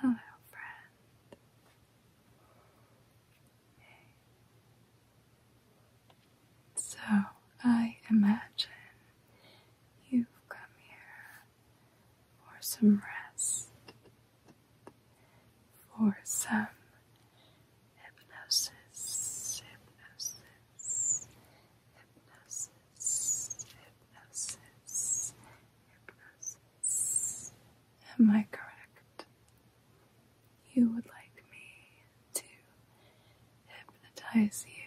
Hello, friend. So, I imagine you've come here for some rest, for some hypnosis, hypnosis, hypnosis, hypnosis, Am I correct? You would like me to hypnotize you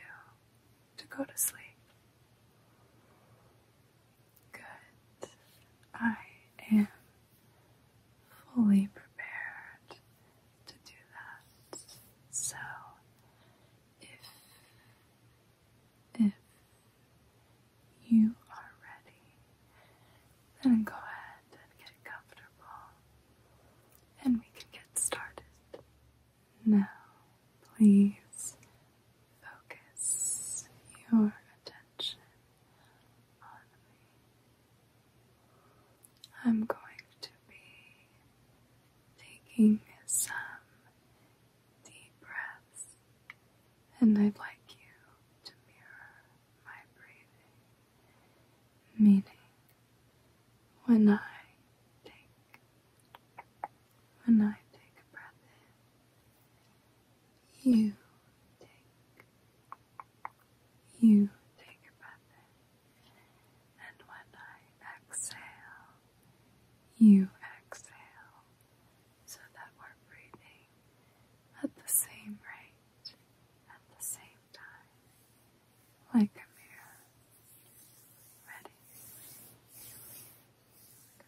to go to sleep. Good. I am fully prepared to do that. So, if if you are ready, then go ahead and get comfortable and we can get started. Now, please focus your attention on me. I'm going to be taking some deep breaths, and I'd like you to mirror my breathing, meaning when I take when I take a breath in, you take you take a breath in, and when I exhale, you exhale so that we're breathing at the same rate, at the same time, like a mirror. Ready? Good.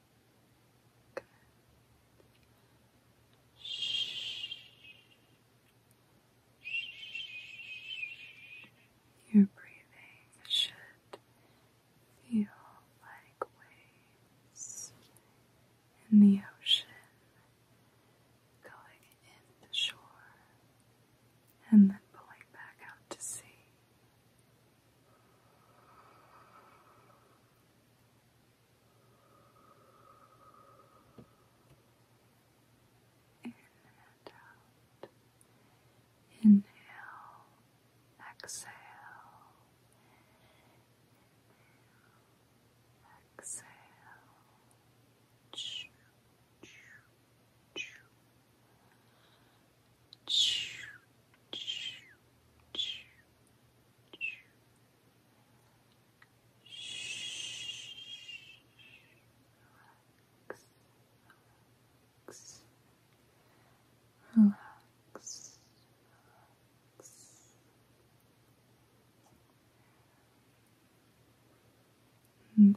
Good. Shh. Your breathing should feel like waves in the ocean going in the shore and then pulling back out to sea. Inhale, exhale. exhale. choo, choo. Choo, Relax. Relax. Relax. There. Good.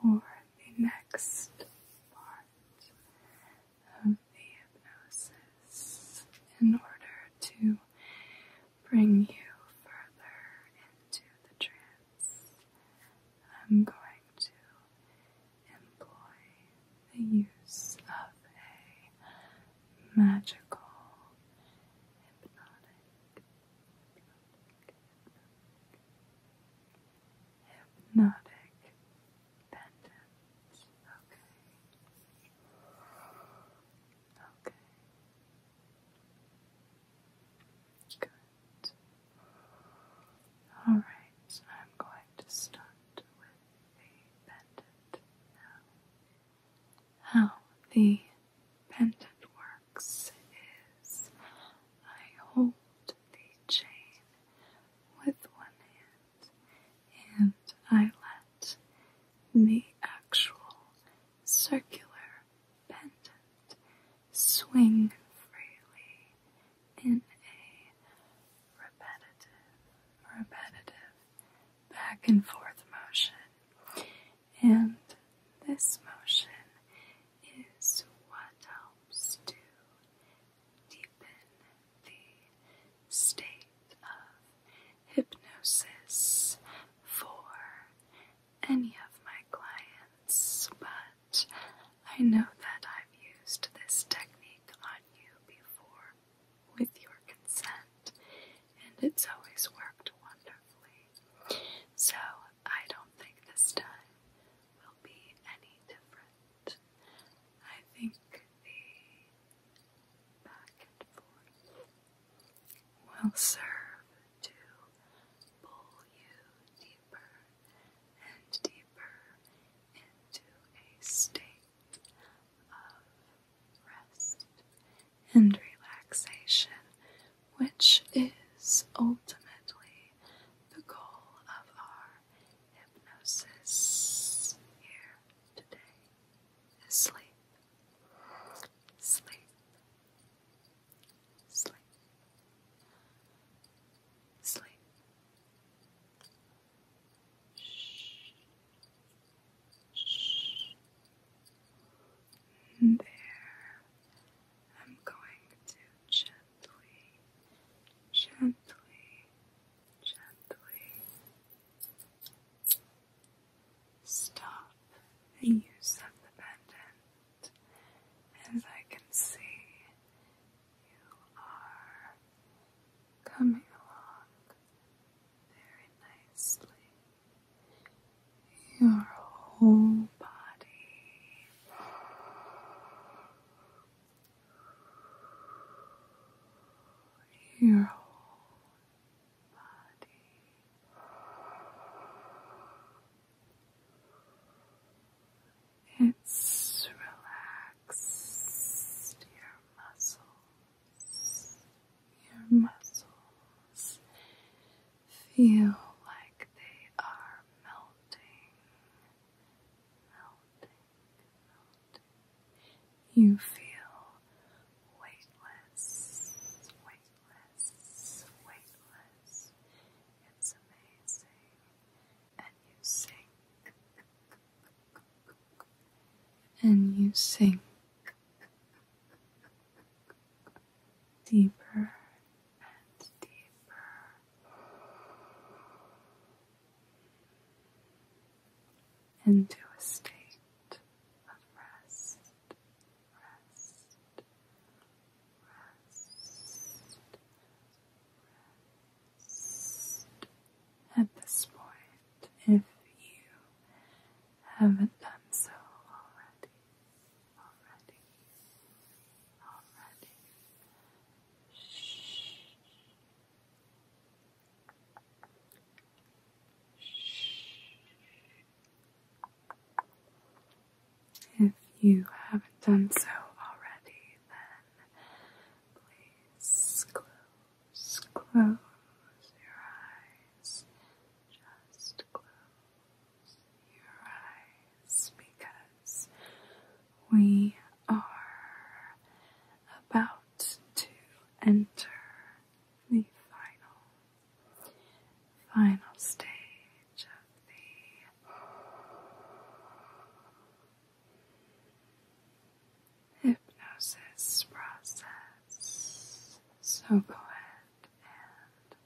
For the next part of the hypnosis, in order to bring you further into the trance, I'm going to employ the use of a magical, hypnotic, hypnotic, hypnotic Okay. Okay. Good. Alright, I'm going to start with the pendant now. How the pendant works is I hold the chain with one hand and I let the actual circular pendant swing freely in a repetitive, repetitive back and forth motion. And this motion is what helps to deepen the state of hypnosis for any of my clients, but I know that I've used this technique on you before, with your consent, and it's always worked wonderfully. So, I don't think this time will be any different. I think the back and forth will serve to pull you deeper and deeper into a state of rest and relaxation, which is ultimately the goal of our hypnosis here today is sleep. Sleep. Sleep sleep. And there, I'm going to gently, gently, gently stop the use of the pendant, as I can see you are coming along very nicely. Your whole body your whole body it's relaxed your muscles. Your muscles feel like they are melting, melting, You feel weightless, weightless, weightless. It's amazing and you sink, and you sink deeper and deeper into a state of rest, rest, at this point, if you haven't done so already, already, already. Shh. Shh. If you haven't done so already, then please close, close your eyes. Just close your eyes because we are about to enter the final, final stage the hypnosis process. So go ahead and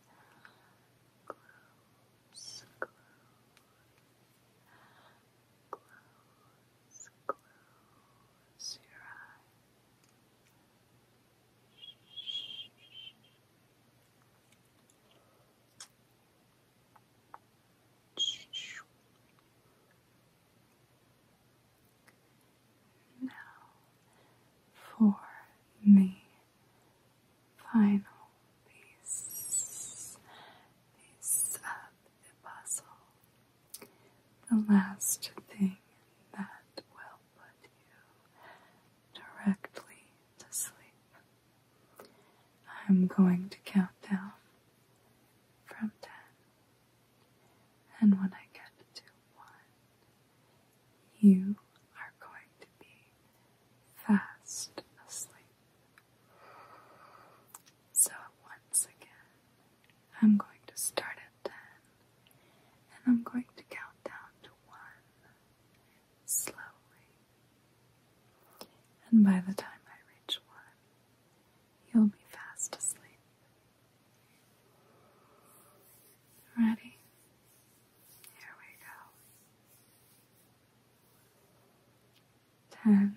close, your eyes. Now for the final piece, piece of the puzzle, the last thing that will put you directly to sleep. I'm going to count down from ten. And when I get to one, you are going to be fast asleep. So, once again, I'm going to start at 10 and I'm going to count down to 1 slowly. And by the time I reach one, you'll be fast asleep. Ready? Here we go. Ten